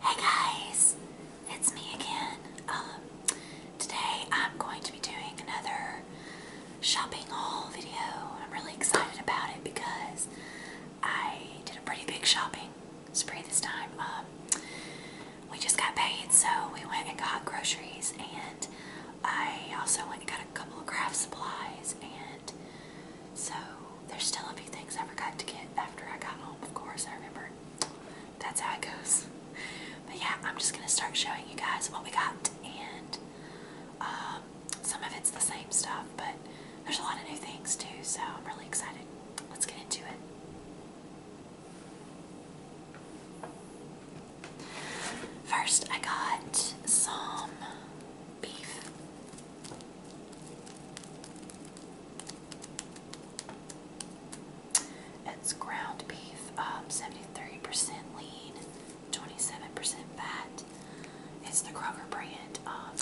Hey guys, it's me again. Um, today I'm going to be doing another shopping haul video. I'm really excited about it because I did a pretty big shopping spree this time. Um, we just got paid, so we went and got groceries, and I also went and got a couple of craft supplies and so there's still a few things I forgot to get after I got home, of course, I remember. That's how it goes. But yeah, I'm just gonna start showing you guys what we got and um, some of it's the same stuff, but there's a lot of new things too, so I'm really excited. Let's get into it. First, I got some beef. It's ground beef, um, 73% lean, 27% fat. It's the Kroger brand. Um,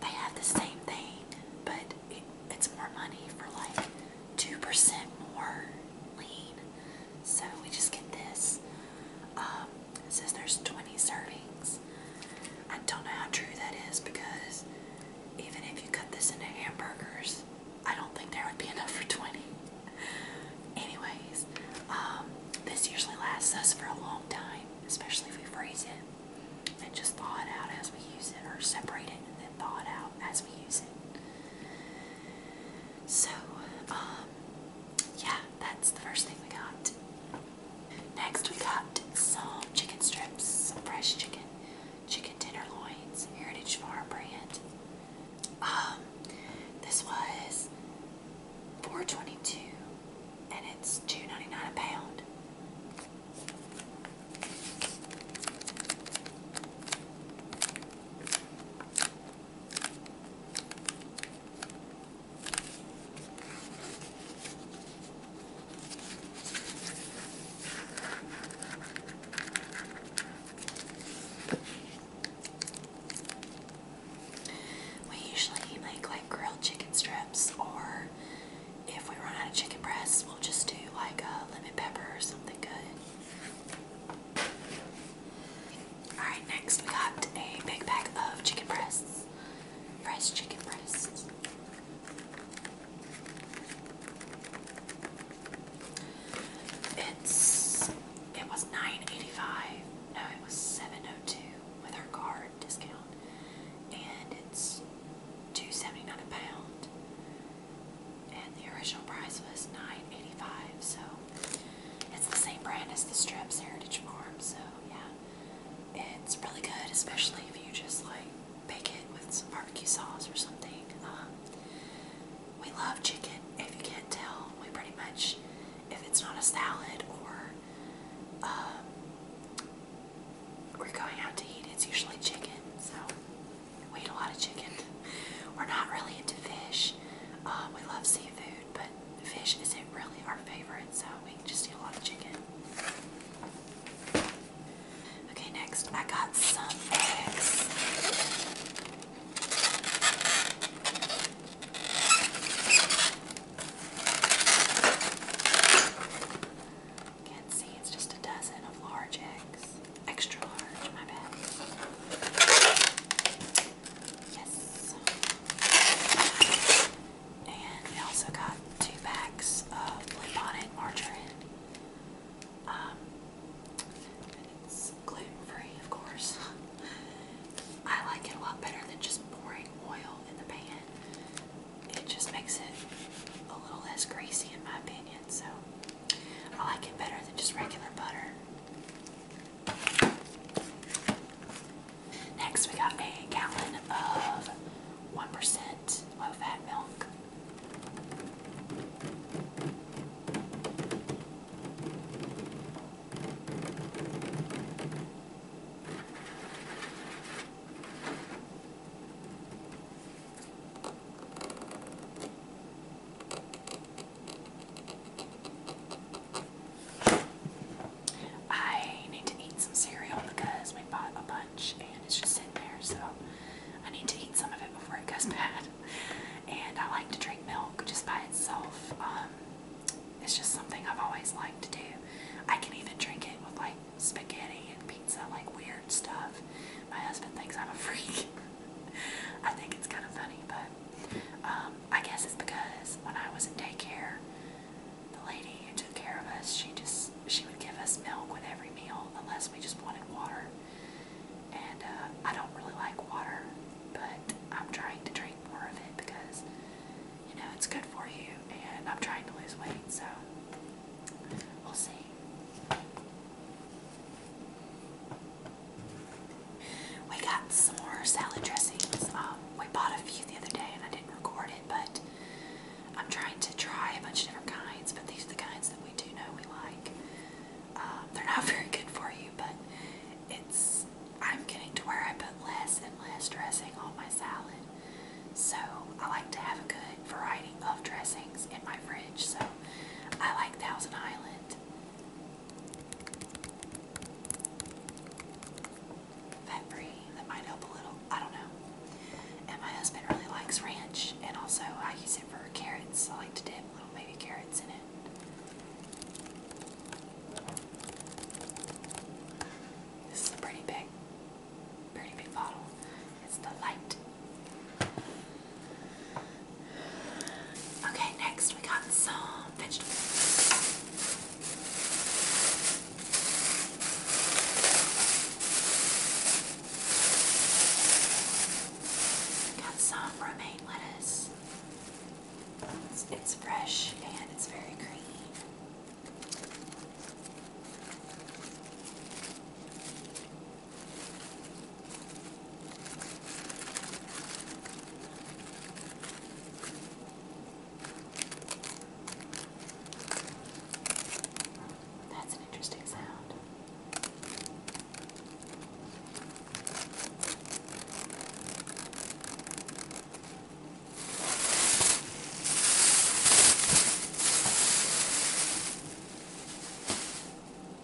they have the same thing, but it, it's more money for like 2% more lean so we just get this. Um, it says there's 20 servings. I don't know how true that is because even if you cut this into hamburgers, I don't think there would be enough for 20. Anyways, um, this usually lasts us for a long time, especially if we freeze it and just thaw it out as we use it or separate it and then thaw it out as we use it. So, um, yeah, that's the first thing we got. Next, we got some chicken strips, some fresh chicken, chicken tenderloins, Heritage Farm brand. Um, this was four twenty-two, and it's two ninety-nine a pound. We usually make like grilled chicken strips, or if we run out of chicken breasts, we'll just do like a lemon pepper or something good. Alright, next we got a big bag of chicken breasts. Fresh chicken breasts. It's it was nine eighty five. No, it was seven oh two with our card discount. And it's two seventy nine a pound. And the original price was nine eighty five, so it's the same brand as the Strips Heritage Farm, so yeah. It's really good, especially if you just like bake it with some barbecue sauce or something. Um, we love chicken, if you can't tell. We pretty much, if it's not a salad or um, we're going out to eat, it's usually chicken, so we eat a lot of chicken. We're not really into fish. Um, we love seafood, but fish isn't really our favorite, so we just eat a lot of chicken. Okay, next I got some eggs. Can't see, it's just a dozen of large eggs. Extra large, my bad. Yes. And we also got two packs of Blue Margarine. Um, it's gluten-free, of course. I like it a lot better than just pouring oil in the pan. It just makes it a little less greasy in my opinion, so I like it better than just regular butter. Next, we got a gallon of 1% low fat milk. I need to eat some cereal because we bought a bunch and it's just sitting there, so I need to eat some of it before it goes bad. And I like to drink milk just by itself. Um, it's just something I've always liked to do. I can even drink it with like spaghetti and pizza, like weird stuff. My husband thinks I'm a freak. I think it's kind of funny, but um, I guess it's because when I was in daycare, the lady who took care of us, she just she would give us milk with every meal unless we just wanted water. And uh, I don't really like water, but I'm trying to drink more of it because you know it's good for you, and I'm trying to lose weight, so we'll see. We got some more salad dressings. Um, we bought a few the other day and I didn't record it, but I'm trying to try a bunch of different kinds, but these are the kinds that we do know we like. Um, they're not very good for you, but it's I'm getting to where I put less and less dressing on my salad. So I like to have a good variety of dressings in my fridge. So I like Thousand Island that free that might help a little I don't know and my husband really likes ranch and also I use it for carrots I like to dip little baby carrots in it this is a pretty big pretty big bottle it's the Okay, next we got some vegetables. Got some romaine lettuce. It's, fresh and it's very creamy. That's an interesting sound.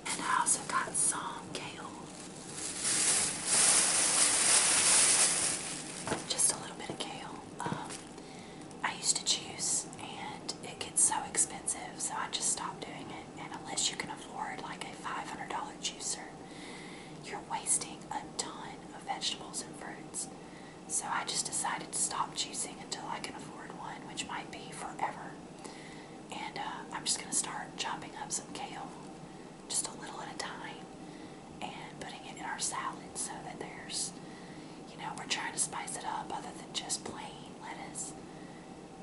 And I also got some kale. Just a little bit of kale. Um, I used to juice and it gets so expensive, so I just stopped doing it. And unless you can afford like a $500 juicer, you're wasting a ton of vegetables and fruits. So I just decided to stop juicing until I can afford one, which might be forever. And uh, I'm just going to start chopping up some kale, just a little at a time, and putting it in our salad so that there's, you know, we're trying to spice it up other than just plain lettuce.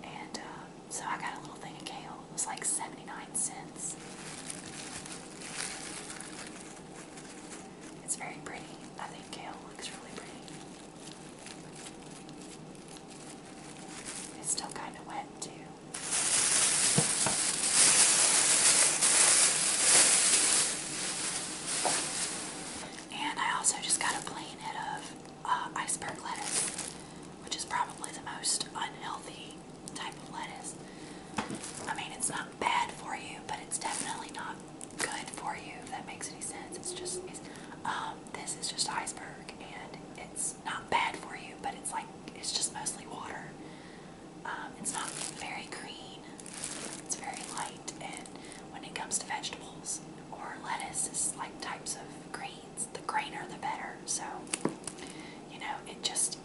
And uh, so I got a little thing of kale. It was like 79 cents. It's very pretty. I think kale looks really pretty. It's still kind of wet, too. And I also just got a plain head of uh, iceberg lettuce, which is probably the most unhealthy type of lettuce. I mean, it's not bad for you, but it's definitely not good for you, if that makes any sense. It's just, um, um, this is just iceberg and it's not bad for you, but it's like it's just mostly water. Um, it's not very green, it's very light, and when it comes to vegetables or lettuce, is like types of greens. The greener the better. So, you know, it just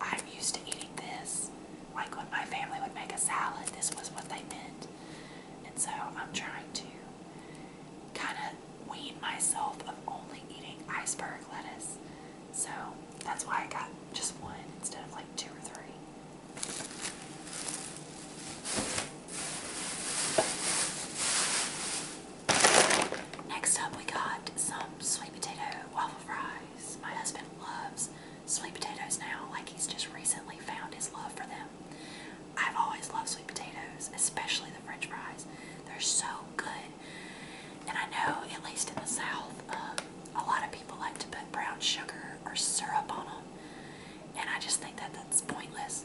I'm used to eating this. Like when my family would make a salad, this was what they meant. And so I'm trying to kind of wean myself of only eating iceberg lettuce. So that's why I got just one instead of like two or three. Next up, we got some sweet potato waffle fries. My husband loves sweet potatoes now, like he's just recently found his love for them them. I've always loved sweet potatoes, especially the french fries. They're so good. And I know, at least in the South, um, a lot of people like to put brown sugar or syrup on them. And I just think that that's pointless.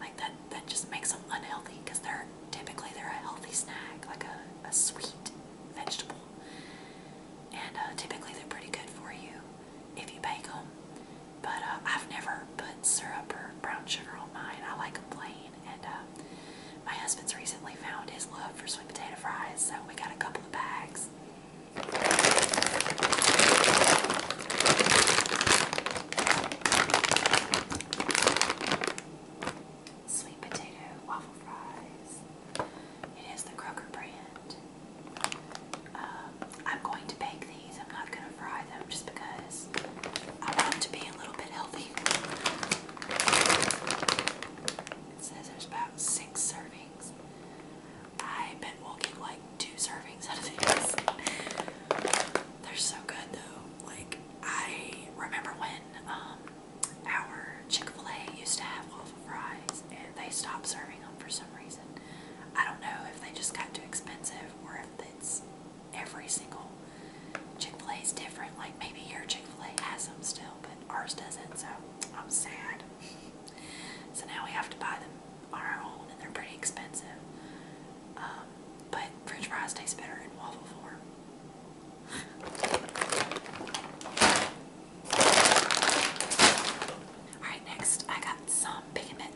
Like that, that just makes them unhealthy because they're typically they're a healthy snack, like a, a sweet vegetable. And uh, typically they're pretty good for you if you bake them. But uh, I've never put syrup or brown sugar on mine. I like them plain. And uh, my husband's recently found his love for sweet potato fries, so we got a couple of bags. Sweet potato waffle fries. It is the Kroger brand. Um, I'm going to bake these. I'm not going to fry them just because I want them to be a little bit healthy. It says there's about six servings. I bet we'll get like two servings out of these. They're so good though. Like I remember when um, our Chick-fil-A used to have waffle fries and they stopped serving them for some reason. I don't know if they just got too expensive or if it's every single Chick-fil-A is different. Like maybe your Chick-fil-A has them still, but ours doesn't, so I'm sad. so now we have to buy them on our own and they're pretty expensive. Um, but french fries taste better in waffle form. Alright, next I got some Big and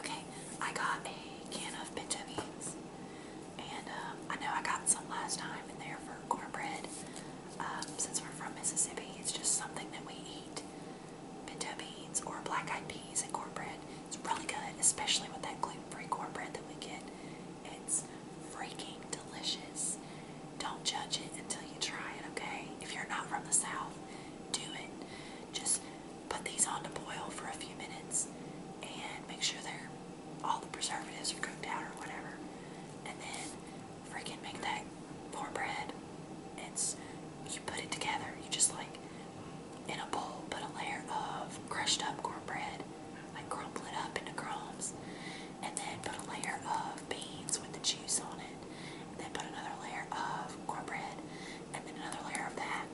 Okay, I got a can of pinto beans, and um, I know I got some last time in there for cornbread. Um, since we're from Mississippi, it's just something that we eat. Pinto beans or black eyed peas and cornbread. It's really good, especially with that gluten-free corn bread that we get. It's freaking delicious. Don't judge it until you try it, okay? If you're not from the South, do it. Just put these on to boil for a few minutes and make sure they're all the preservatives are cooked out or whatever. And then freaking make that cornbread. It's you put it together. You just like in a bowl, put a layer of crushed up cornbread, like crumple it up into crumbs, and then put a layer of beans with the juice on it, and then put another layer of cornbread, and then another layer of that.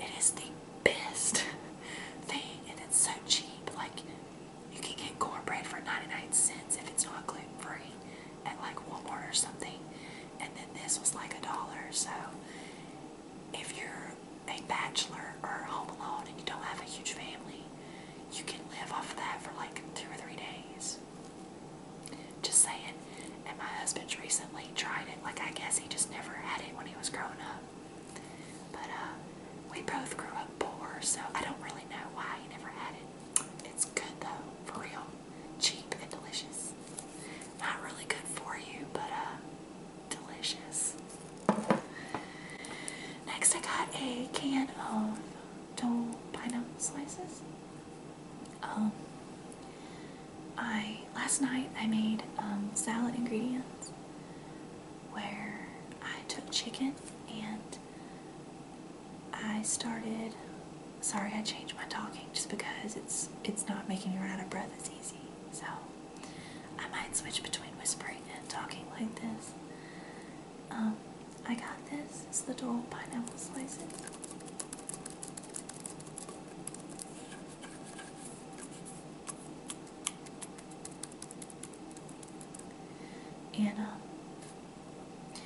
It is the best thing, and it's so cheap. Like, you can get cornbread for 99 cents if it's not gluten free at like Walmart or something, and then this was like a dollar, so if you're a bachelor or home alone and you don't have a huge family, you can live off of that for like two or three days. Just saying. And my husband's recently tried it. Like, I guess he just never had it when he was growing up. But, uh, we both grew up poor, so I don't really know why he never had it. It's good though, for real. Cheap and delicious. Not really good for you, but, uh, delicious. Next, I got a can of pineapple slices. Um, I last night I made um, salad ingredients where I took chicken and I started. Sorry, I changed my talking just because it's it's not making me run out of breath as easy. So I might switch between whispering and talking like this. Um, I got this. It's the dual pineapple slices. Anna, um,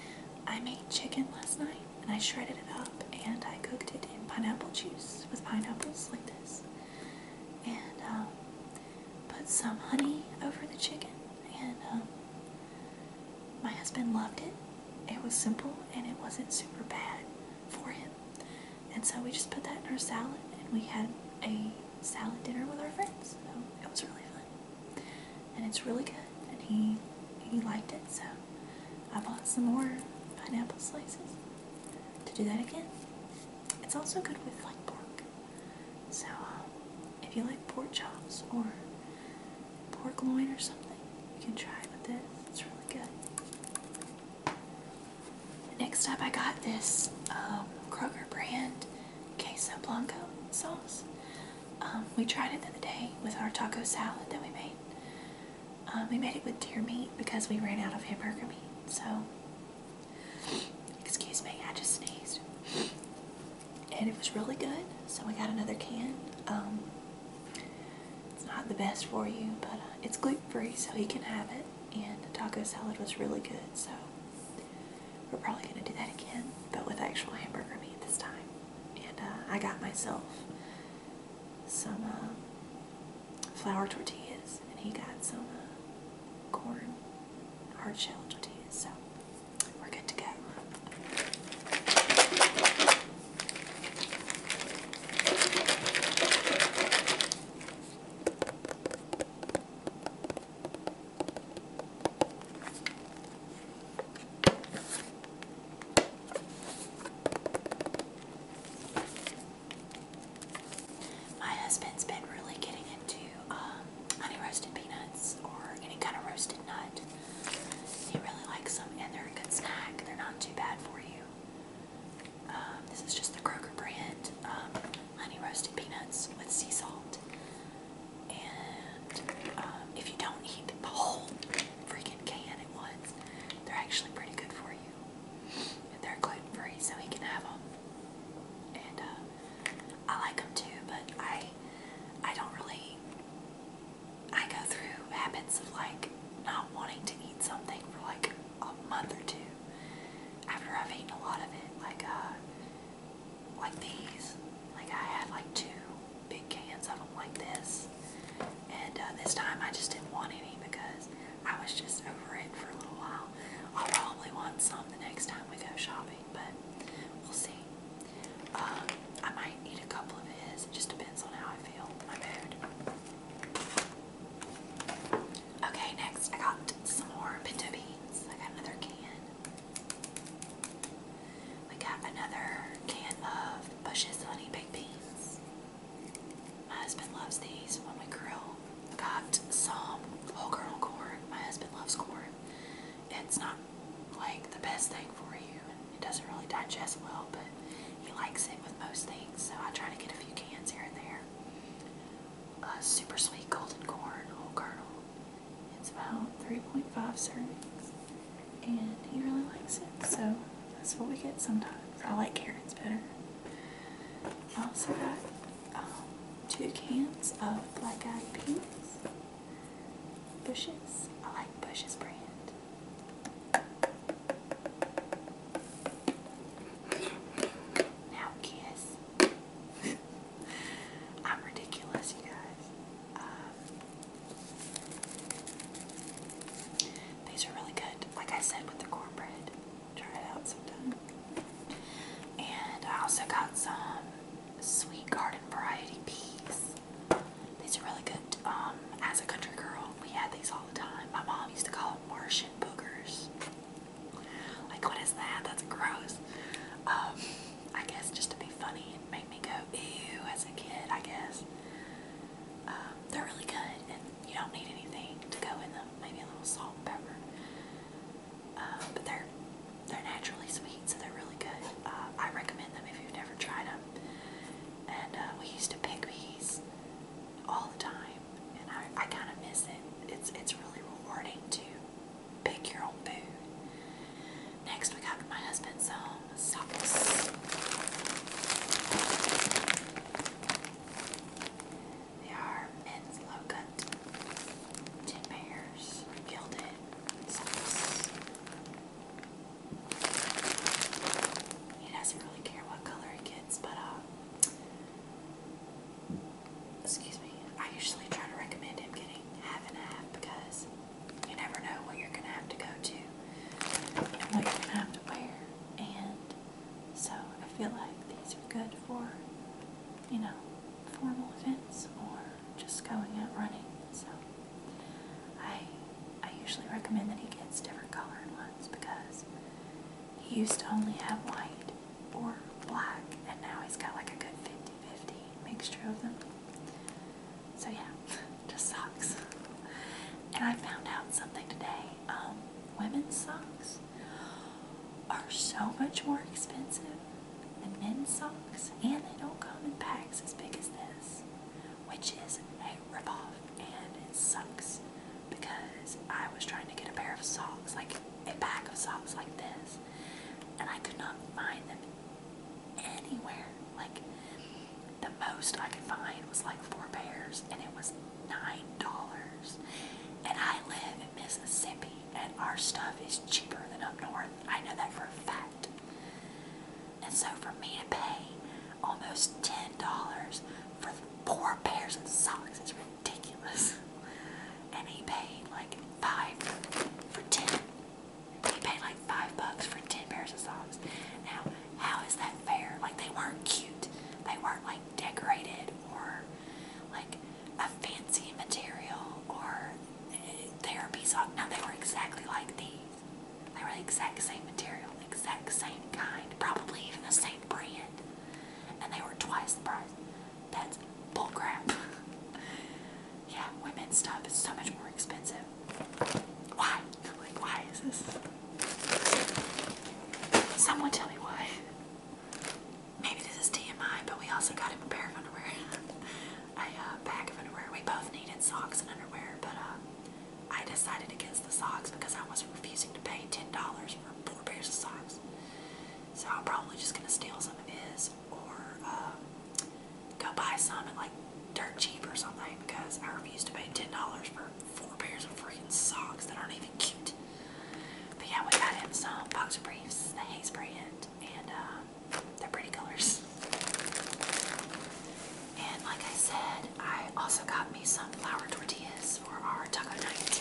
I made chicken last night and I shredded it up and I cooked it in pineapple juice with pineapples like this, and um, put some honey over the chicken. And um, my husband loved it. It was simple and it wasn't super bad for him. And so we just put that in our salad, and we had a salad dinner with our friends. So it was really fun, and it's really good. And he he liked it so. I bought some more pineapple slices to do that again. It's also good with like pork. So uh, if you like pork chops or pork loin or something, you can try it with this. It's really good. Next up, I got this um, Kroger brand queso blanco sauce. Um, we tried it the other day with our taco salad that we made. Um, we made it with deer meat because we ran out of hamburger meat. So, excuse me, I just sneezed. And it was really good, so we got another can. Um, it's not the best for you, but uh, it's gluten free, so you can have it. And taco salad was really good, so we're probably going to do that again, but with actual hamburger meat this time. And uh, I got myself some um, flour tortillas, and he got some uh, corn hard shell tortillas. So we're good to go. My husband's been really getting into um, honey roasted peanuts or any kind of roasted nut. He really likes them and they're a good snack. They're not too bad for you. Um, this is just the Kroger brand um, honey roasted peanuts with sea salt. And if you don't eat the whole freaking can at once. They're actually pretty good for you. And they're gluten free, so he can have them. And uh, I like them too, but I, I don't really. I go through habits of like not wanting to eat something for like a month or two after I've eaten a lot of it. Like uh, like these. Like I had like two big cans of them like this. And uh, this time I just didn't want any because I was just over it for a little while. I'll probably want some the next time we go shopping, but we'll see. Um, I might eat a couple of his. It just depends on how I feel, my mood. Okay, next I got some more pinto beans. I got another can. We got another can of Bush's Honey Baked Beans. My husband loves these when we grill. I got some whole kernel corn. My husband loves corn. It's not like the best thing for you, and it doesn't really digest well, but he likes it with most things, so I try to get a few cans here and there. Uh, super sweet golden corn, whole kernel. It's about 3.5 servings and he really likes it, so that's what we get sometimes. I like carrots better. I also got um, two cans of black eyed peas. Bushes. I like Bush's brand. Now kiss. I'm ridiculous, you guys. Um, these are really good, like I said, with the cornbread. Try it out sometime. And I also got some sweet garden variety peas. These are really good. Um, as a country girl, we had these all the time. My mom used to call them Martian boogers. Like, what is that? That's gross. Um, I guess just to be funny and make me go ew as a kid, I guess. Um, they're really good, and you don't need anything to go in them. Maybe a little salt and pepper, uh, but they're they're naturally sweet, so they're really good. Uh, I recommend them if you've never tried them. And uh, we used to pick these all the time, and I, I kind of miss it. It's it's really rewarding to pick your own food. Next, we got my husband's some socks. They are men's low pairs, gilded socks. He doesn't really care what color he gets, but uh, excuse me, I usually try to recommend him getting half and half because you never know what you're going to have to go to and what you're going to have to wear. And so I feel like these are good for, you know, formal events or just going out running. So I I usually recommend that he gets different colored ones because he used to only have white or black and now he's got like a good 50-50 mixture of them. So yeah. just socks. And I found out something today. Um, women's socks are so much more expensive than men's socks, and they don't come in packs as big as this, which is a ripoff, and it sucks because I was trying to get a pair of socks, like a pack of socks like this, and I could not find them anywhere. Like the most I could find was like four pairs, and it was nine dollars. And I live in Mississippi, and our stuff is cheaper than up north. I know that for a fact. And so for me to pay almost ten dollars for four pairs of socks is ridiculous. And he paid like five for ten. They paid like five bucks for ten pairs of socks. Now, how is that fair? Like they weren't cute. They weren't like decorated or like a fancy material or eh, therapy sock. No, they were exactly like these. They were the exact same material, exact same kind, probably even the same brand. And they were twice the price. That's bullcrap. yeah, women's stuff is so much more expensive. Why? Like, why is this? Someone tell me why. Maybe this is TMI, but we also got him a pair of underwear. a uh, of underwear. We both needed socks and underwear, but uh, I decided against the socks because I wasn't refusing to pay $10 for four pairs of socks. So I'm probably just going to steal some of his or uh, go buy some at like dirt cheap or something because I refuse to pay ten dollars for four pairs of freaking socks that aren't even cute. But yeah, we got in some boxer briefs, the Hayes brand, and um, they're pretty colors. And like I said, I also got me some flour tortillas for our taco night.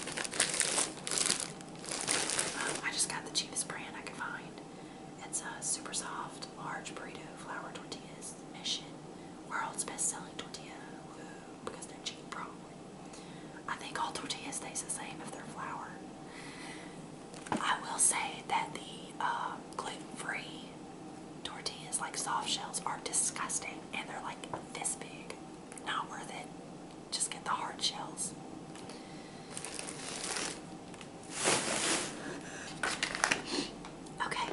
Um, I just got the cheapest brand I could find. It's a super soft, large burrito flour tortillas. Mission, world's best-selling tortilla. Woo, because they're cheap, probably. I think all tortillas taste the same if they're flour. I will say that the uh, gluten-free tortillas, like soft shells, are disgusting, and they're like this big. Not worth it. Just get the hard shells. Okay,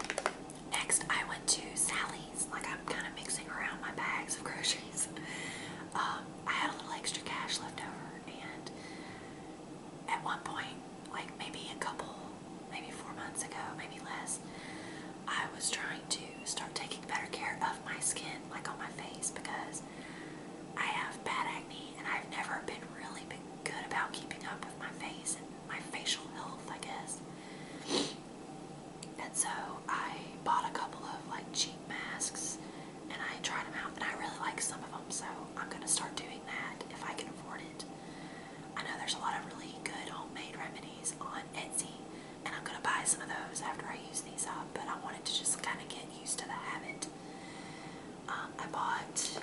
next I went to Sally's. Like I'm kind of mixing around my bags of groceries. Um, I had a little extra cash left over, and at one point, like maybe a couple, maybe four months ago, maybe less, I was trying to start taking better care of my skin, like on my face, because I have bad acne me, and I've never been really been good about keeping up with my face and my facial health, I guess. And so I bought a couple of like cheap masks, and I tried them out, and I really like some of them. So I'm gonna start doing that if I can afford it. I know there's a lot of really good homemade remedies on Etsy, and I'm gonna buy some of those after I use these up. But I wanted to just kind of get used to the habit. Um, I bought two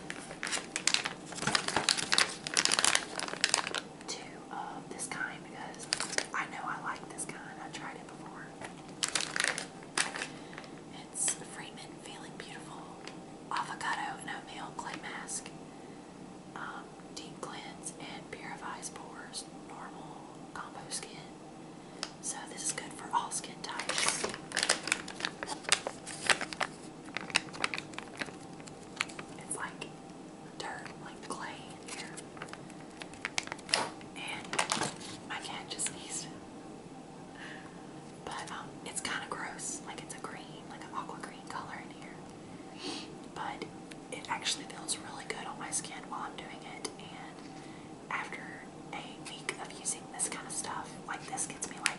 of this kind because I know I like this kind. I tried it before. It's Freeman Feeling Beautiful Avocado and Oatmeal Clay Mask. Um, deep cleans and purifies pores, normal combo skin. So this is good for all skin types. It's like dirt, like clay here. And my cat just sneezed. But um, it's kind of gross. Like it's a green, like an aqua green color in here. But it actually feels really good on my skin while I'm doing it. And after a week of using this kind of stuff, like this gets me like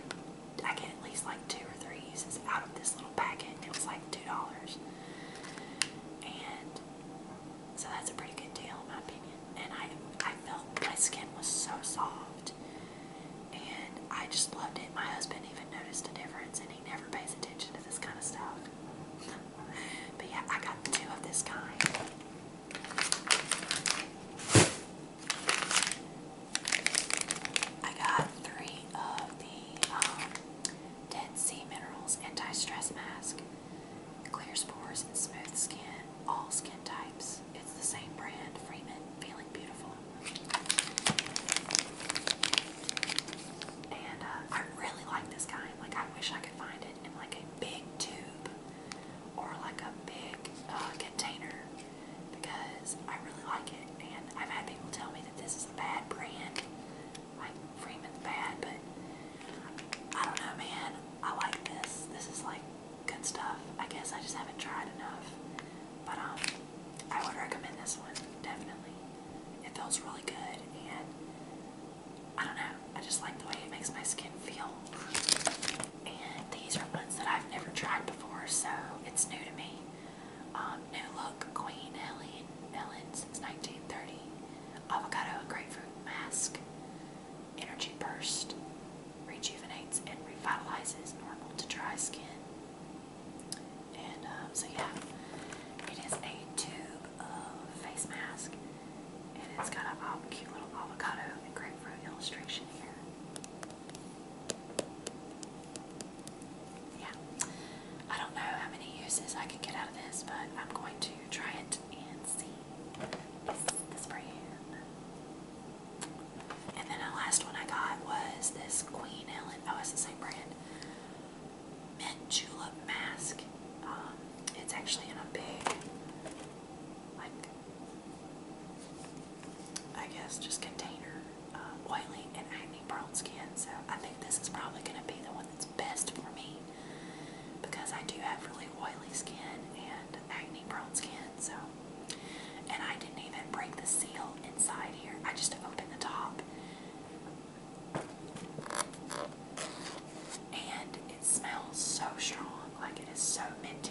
I get at least like two or three uses out of this little packet, and it was like two dollars. And so that's a pretty good deal, in my opinion. And I, I felt my skin was so soft, and I just loved it. My husband even noticed a difference, and he never pays attention to this kind of stuff. but yeah, I got two of this kind. I got three of the um, Dead Sea Minerals Anti-Stress Mask. It clears pores and smooth skin, all skin types. It's the same brand, Freeman, Feeling Beautiful. And uh, I really like this kind. Like, I wish I could find it in like a big tube or like a big uh, container because I really like it. And I've had people tell me that this is a bad brand, like Freeman's bad, but I don't know, man. I like this. This is like good stuff. I guess I just haven't tried enough, but um, I would recommend this one definitely. It feels really good, and I don't know. I just like the way it makes my skin feel and these are ones that I've never tried before, so it's new to me. Um, new look Queen Helen Ellen since 1930. Avocado grapefruit mask. Energy burst. Rejuvenates and revitalizes normal to dry skin. And um, so yeah, it is a tube of face mask, and it's got a um, cute little avocado and grapefruit illustration here yeah, I don't know how many uses I could get out of this, but I'm going to try it and see this, this And then the last one I got was this Queen Ellen, oh it's the same brand, Mint Julep Mask. Um, it's actually in a big like I guess just container uh, oily and acne prone skin. So I think this is probably going to be the one that's best for me because I do have really oily skin and acne brown skin. So and I didn't even break the seal inside here. I just opened the top. And it smells so strong, like it is so minty.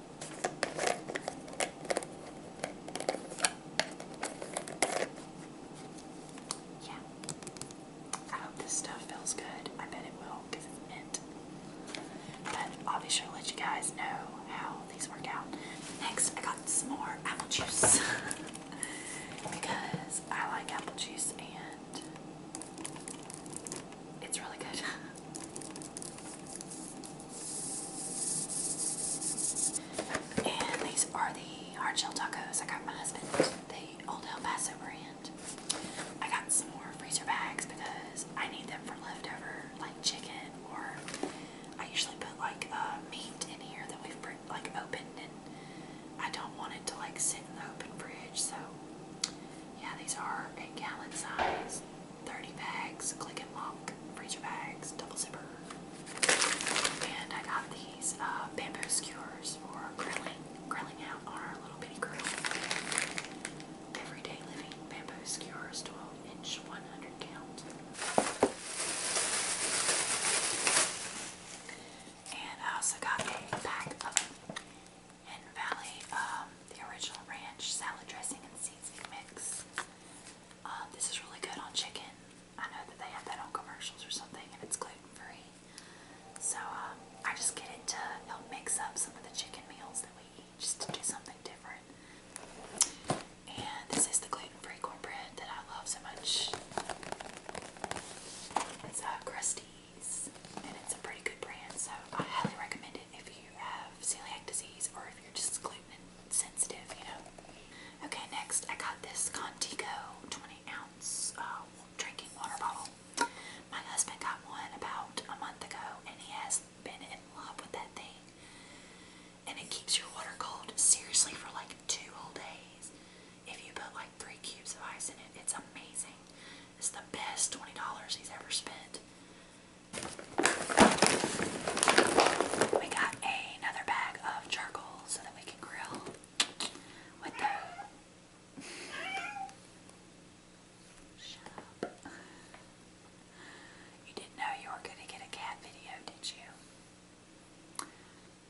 Yeah. I hope this stuff feels good. I bet it will it's mint. But I'll be sure to let you guys know how these work out. Next, I got some more apple juice because I like apple juice and it's really good. and these are the hard tacos I got my husband, the Old El Paso brand. I got some more freezer bags because I need them for leftover like chicken or I usually put like uh, meat in here that we've like opened and I don't want it to like sit in the open fridge so yeah these are a gallon size 30 bags, click and lock, freezer bags, double zipper. And I got these uh, bamboo skewers for grilling, grilling out on our little bitty grill. Everyday living bamboo skewers, 12 inch, 100 count. And I also got a pack of Hidden Valley um, the original ranch salad dressing and seasoning mix. Um, this is really good on chicken. I know that they have that on commercials or something, and it's gluten free. So um, I just get it to help mix up some of the chicken meals that we eat, just to do something different. And this is the gluten free cornbread that I love so much. It's uh, and it's a pretty good brand, so I highly recommend it if you you have celiac disease or if you're just gluten sensitive, you know. Okay, next I got this Contigo 20 ounce uh, drinking water bottle. My husband got one about a month ago and he has been in love with that thing. And it keeps your water cold seriously for like two whole days. If you put like three cubes of ice in it, it's amazing. It's the best $20 he's ever spent. We got another bag of charcoal so that we can grill with the. Shut up. You didn't know you were going to get a cat video, did you?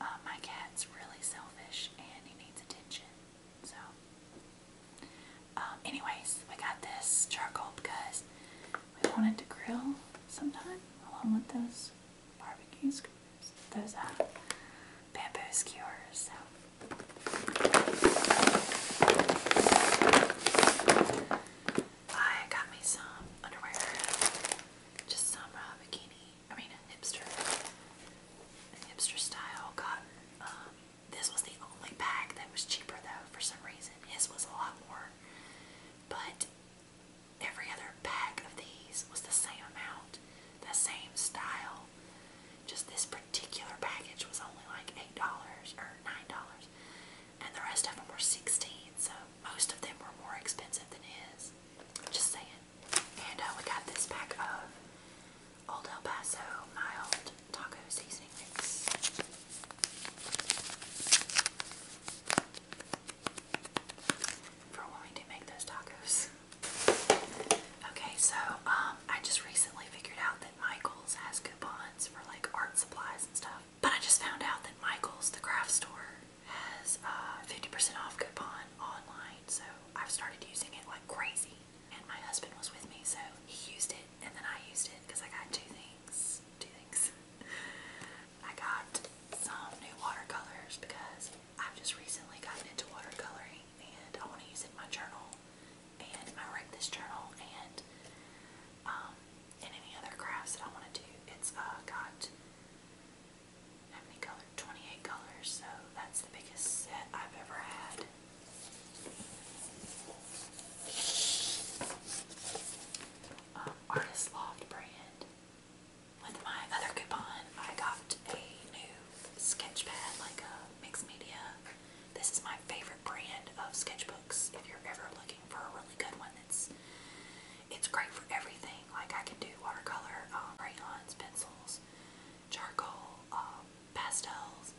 Uh, my cat's really selfish and he needs attention, so um, anyways, we got this charcoal because we wanted to grill sometime along with those barbecue skewers, those uh, bamboo skewers. So. I got me some underwear, just some uh, bikini, I mean a hipster, hipster style cotton um, this was the only pack that was cheaper though for some reason. His was a lot more. But every other pack of these was the same amount, the same style. Just this particular package was only like $8 or $9. And the rest of them were 16 so most of them were more expensive than his. Just saying. And uh, we got this pack of Old El Paso mild taco seasoning mix. For when we do make those tacos. Okay, so um, I just recently figured out that Michaels has coupons for like art supplies and stuff. But I just found out that Michaels, the craft store, has 50% uh, off coupon online, so I've started using it like crazy and my husband was with me, so he used it, and then I used it because I got two things. Two things. I got some new watercolors because I've just recently gotten into watercoloring, and I want to use it in my journal and I write this journal and and um, any other crafts that I want to do. It's uh, got how many colors? 28 colors. So that's the biggest set I've ever had. Uh, Artist Loft brand. With my other coupon, I got a new sketch pad, like a mixed media. This is my favorite brand of sketchbooks. If you're ever looking for a really good one, that's it's great for everything. Like I can do watercolor, uh, crayons, pencils, charcoal, um, pastels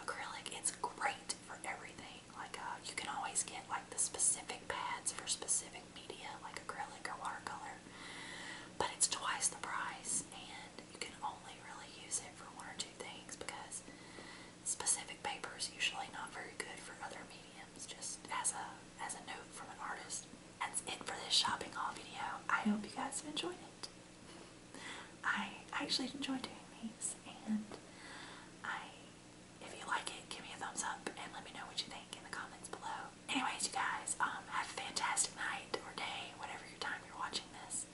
acrylic. It's great for everything. Like uh, you can always get like the specific pads for specific media, like acrylic or watercolor. But it's twice the price, and you can only really use it for one or two things because specific paper is usually not very good for other mediums. Just as a as a note from an artist. That's it for this shopping haul video. I hope you guys have enjoyed it. I actually enjoy doing these and I if you like it give me a thumbs up and let me know what you think in the comments below. Anyways you guys um, have a fantastic night or day whatever your time you're watching this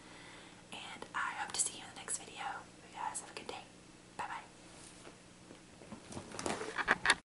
and I hope to see you in the next video. You guys have a good day. Bye bye.